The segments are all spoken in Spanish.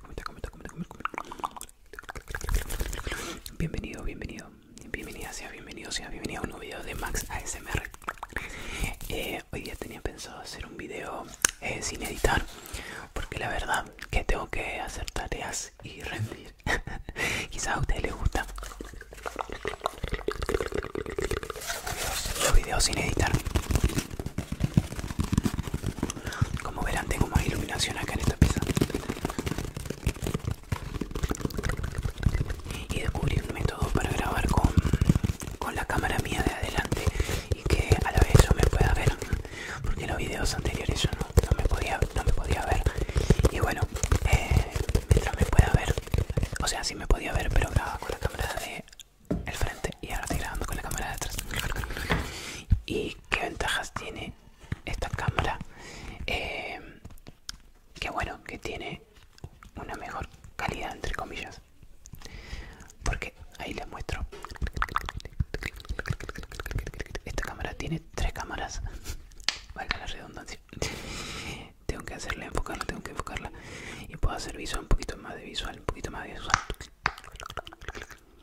Comenta, comenta, comenta, comenta, Bienvenido, bienvenido. Bienvenida sea, bienvenido sea, bienvenido a un nuevo video de Max ASMR. Eh, hoy día tenía pensado hacer un video eh, sin editar, porque la verdad que tengo que hacer tareas y rendir. Quizás a ustedes les gusta los videos sin editar como verán tengo más iluminación acá en esta pieza. Y descubrí un método para grabar con, la cámara mía de adelante y que a la vez yo me pueda ver. Porque en los videos anteriores yo no, me, podía, ver. Y bueno, eh, mientras me pueda ver, o sea, sí me podía ver, pero grababa con la cámara de el frente y ahora estoy grabando con la cámara de atrás y qué ventajas tiene esta cámara eh, que bueno que tiene una mejor calidad entre comillas porque ahí les muestro esta cámara tiene tres cámaras valga la redundancia tengo que hacerla enfocarla tengo que enfocarla y puedo hacer visual un poquito más de visual un poquito más de visual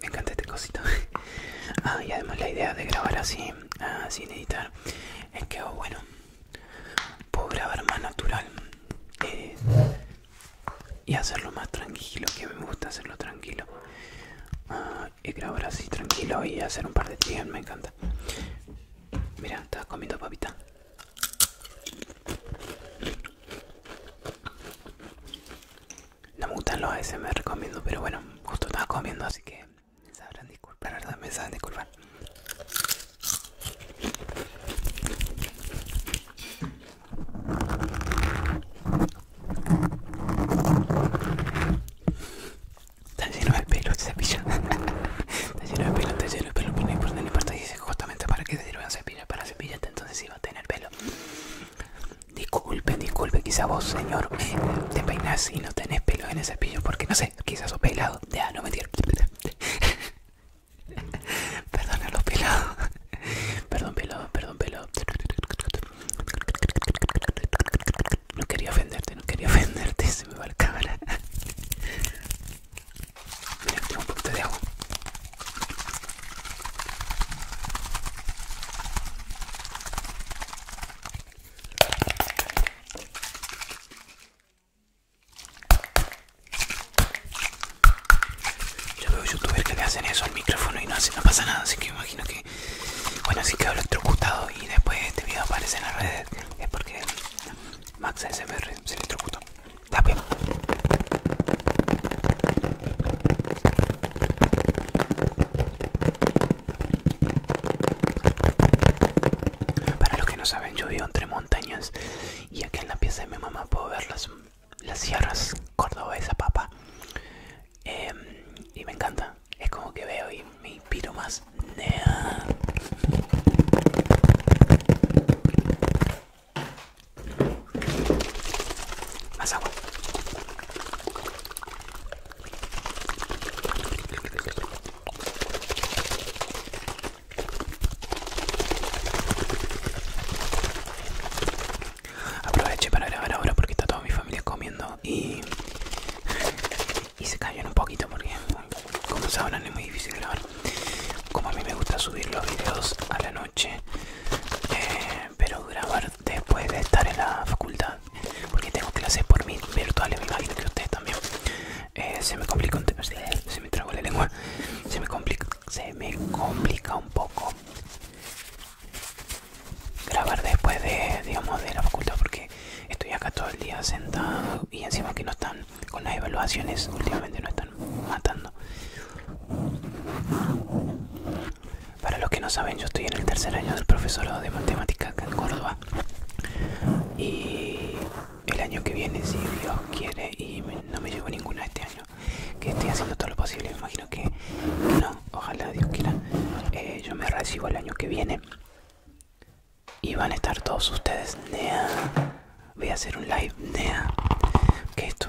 me encanta este cosito ah, y además la idea de grabar así ah, sin editar es que bueno puedo grabar más natural eh, y hacerlo más tranquilo que me gusta hacerlo tranquilo ah, y grabar así tranquilo y hacer un par de triggers me encanta mira estás comiendo papita no me gustan los me recomiendo pero bueno, justo estaba comiendo, así que me sabrán disculpar, ¿verdad? Me sabrán disculpar. Está lleno de pelo te cepillo. está lleno de pelo, está lleno de pelo, pero no importa, no importa. Dice justamente para qué se un cepillas Para cepillarte, entonces iba a tener pelo. Disculpe, disculpe, quizás vos, señor, te peinás y no tenés pelo en el cepillo porque no sé, quizás sos pelado. Ya, no Perdón a los pelos Perdón, pelo perdón, pelo No quería ofenderte, no quería ofenderte, se me va la cámara. Mira, tengo un poquito de agua. Yo veo youtubers que le hacen eso al micrófono y no, pasa nada, así que imagino que... Bueno, así quedó electrocutado y después este video aparece en las redes es porque Max se electrocutó. Está bien. Para los que no saben, yo vivo entre montañas y aquí en la pieza de mi mamá puedo ver las, las sierras cordobesas, papá. Em, y me encanta, es como que veo y me inspiro más. Más agua. Aproveché para grabar ahora porque está toda mi familia comiendo y, y se callan un poquito porque como sabrán es muy difícil grabar. Como a mí me gusta subir los videos a la noche eh, pero grabar después de estar en la facultad porque tengo clases por mí virtuales y imagino que ustedes también eh, se me complica un se me trago la lengua se me complica se me complica un poco grabar después de digamos de la facultad porque estoy acá todo el día sentado y encima que no están con las evaluaciones últimamente no están matando para los que no saben, yo estoy en el tercer año del profesorado de matemática acá en Córdoba. Y el año que viene, si Dios quiere, y no me llevo ninguna este año, que estoy haciendo todo lo posible, me imagino que, no, ojalá Dios quiera, eh, yo me recibo el año que viene. Y van a estar todos ustedes, nea. Voy a hacer un live, nea. Que esto?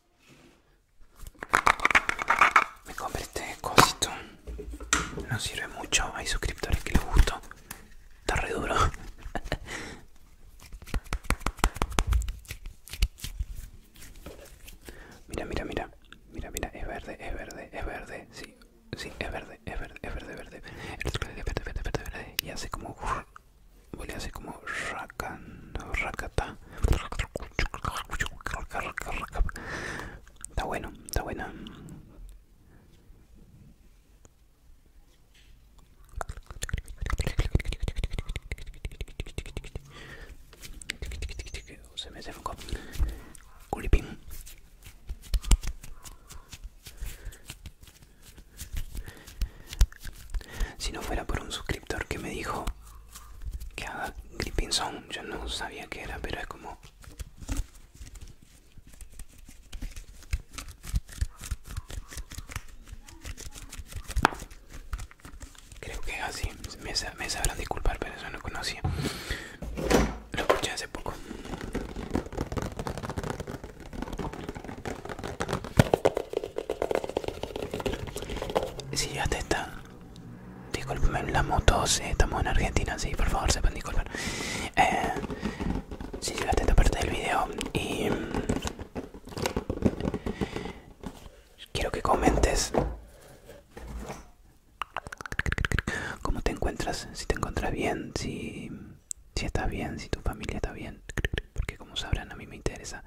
Me compré este cosito. No sirve mucho. Hay suscriptores que les gustó. Está re duro. mira, mira, mira. Mira, mira, es verde, es verde, es verde. Sí, sí, es verde, es verde, es verde, verde. Es verde, verde, verde, verde, Y hace como. Voy a hacer como. Racata. Está bueno, está bueno. Se me desenfocó. Culipín. Si no fuera por un suscriptor que me dijo que haga Gripping Song Yo no sabía que era, pero es como. Creo que es así. Me, me sabrán disculpar, pero eso no conocía. Lo escuché hace poco. Si ya te está Disculpenme la moto si estamos en Argentina, sí, por favor sepan disculpar. Eh, si llegaste a esta parte del video y mm, quiero que comentes cómo te encuentras, si te encuentras bien, si, si estás bien, si tu familia está bien, porque como sabrán a mí me interesa.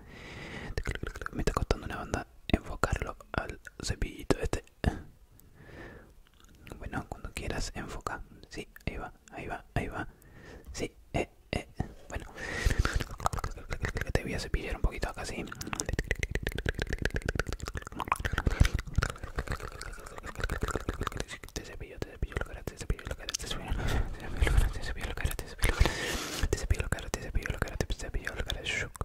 Me está costando una banda enfocarlo al cepillito este bueno cuando quieras enfoca sí ahí va ahí va ahí va sí eh, eh. bueno te voy a cepillar un poquito acá sí te cepillo te cepillo la cara te cepillo la cara te cepillo la cara te cepillo la cara te cepillo la cara te cepillo la cara te cepillo la cara te cepillo la cara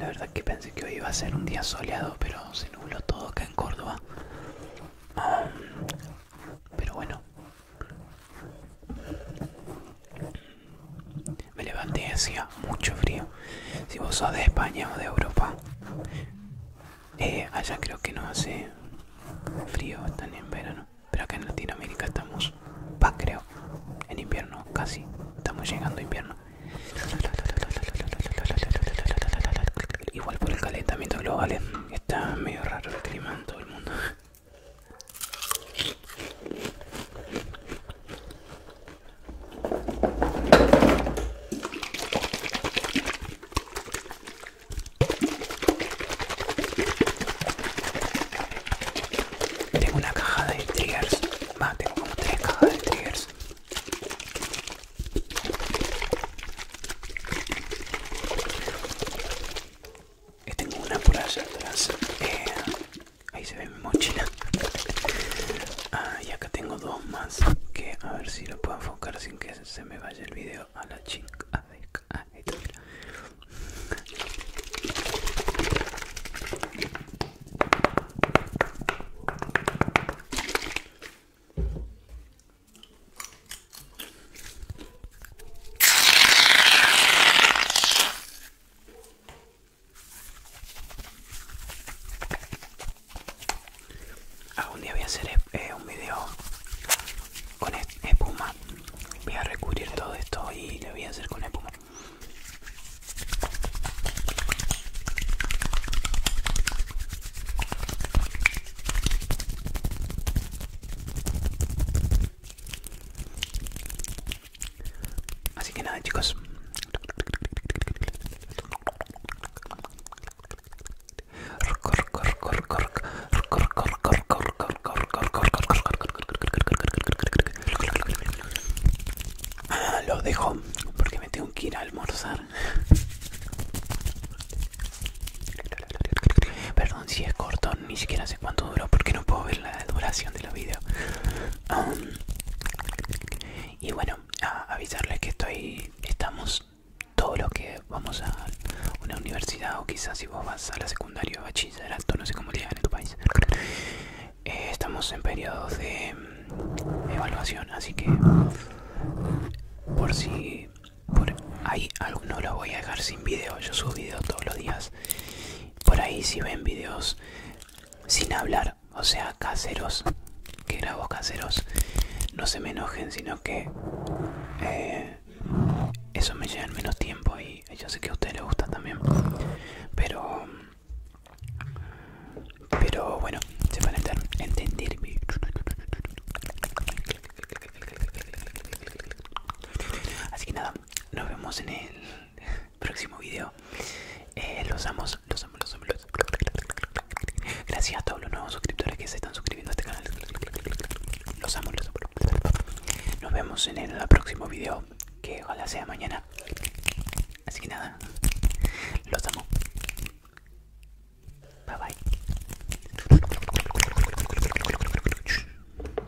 la verdad que pensé que hoy iba a ser un día soleado, pero se nubló todo acá en Córdoba. pero bueno. Me levanté y hacía mucho frío. Si vos sos de España o de Europa, eh, allá creo que no hace frío, tan en verano. Pero acá en Latinoamérica estamos, va creo, en invierno casi. Estamos llegando a invierno. Igual por el calentamiento global eh, está medio raro el clima en todo el mundo. Tengo una caja de triggers. Más, tengo como tres cajas de triggers tengo una por allá atrás. ahí se ve mi mochila. Ah, y acá tengo dos más. Que a ver si lo puedo enfocar sin que se me vaya el video a la chica. Algún día voy a hacer eh, un video con espuma. Voy a recubrir todo esto y lo voy a hacer con espuma. Así que nada chicos ah, Lo dejo porque me tengo que ir a almorzar Perdón si es corto, ni siquiera cuánto duró porque no puedo ver la duración de los videos um, y bueno avisarles que estoy estamos todos los que vamos a una universidad o quizás si vos vas a la secundaria o bachillerato no sé cómo le en tu país eh, estamos en periodos de mm, evaluación así que por si por ahí alguno lo voy a dejar sin vídeo yo subo videos todos los días por ahí si ven videos sin hablar, o sea, caseros, que grabo caseros, no se me enojen, sino que eh, eso me lleva menos tiempo y yo sé que a ustedes les gusta también. Pero, pero bueno, se van a entender. Así que nada, nos vemos en el próximo video. Eh, los amos, los amos, los amos. Gracias a todos los nuevos suscriptores que se están suscribiendo a este canal. Los amo, los amo. Nos vemos en el próximo video, que ojalá sea mañana. Así que nada, los amo. Bye bye.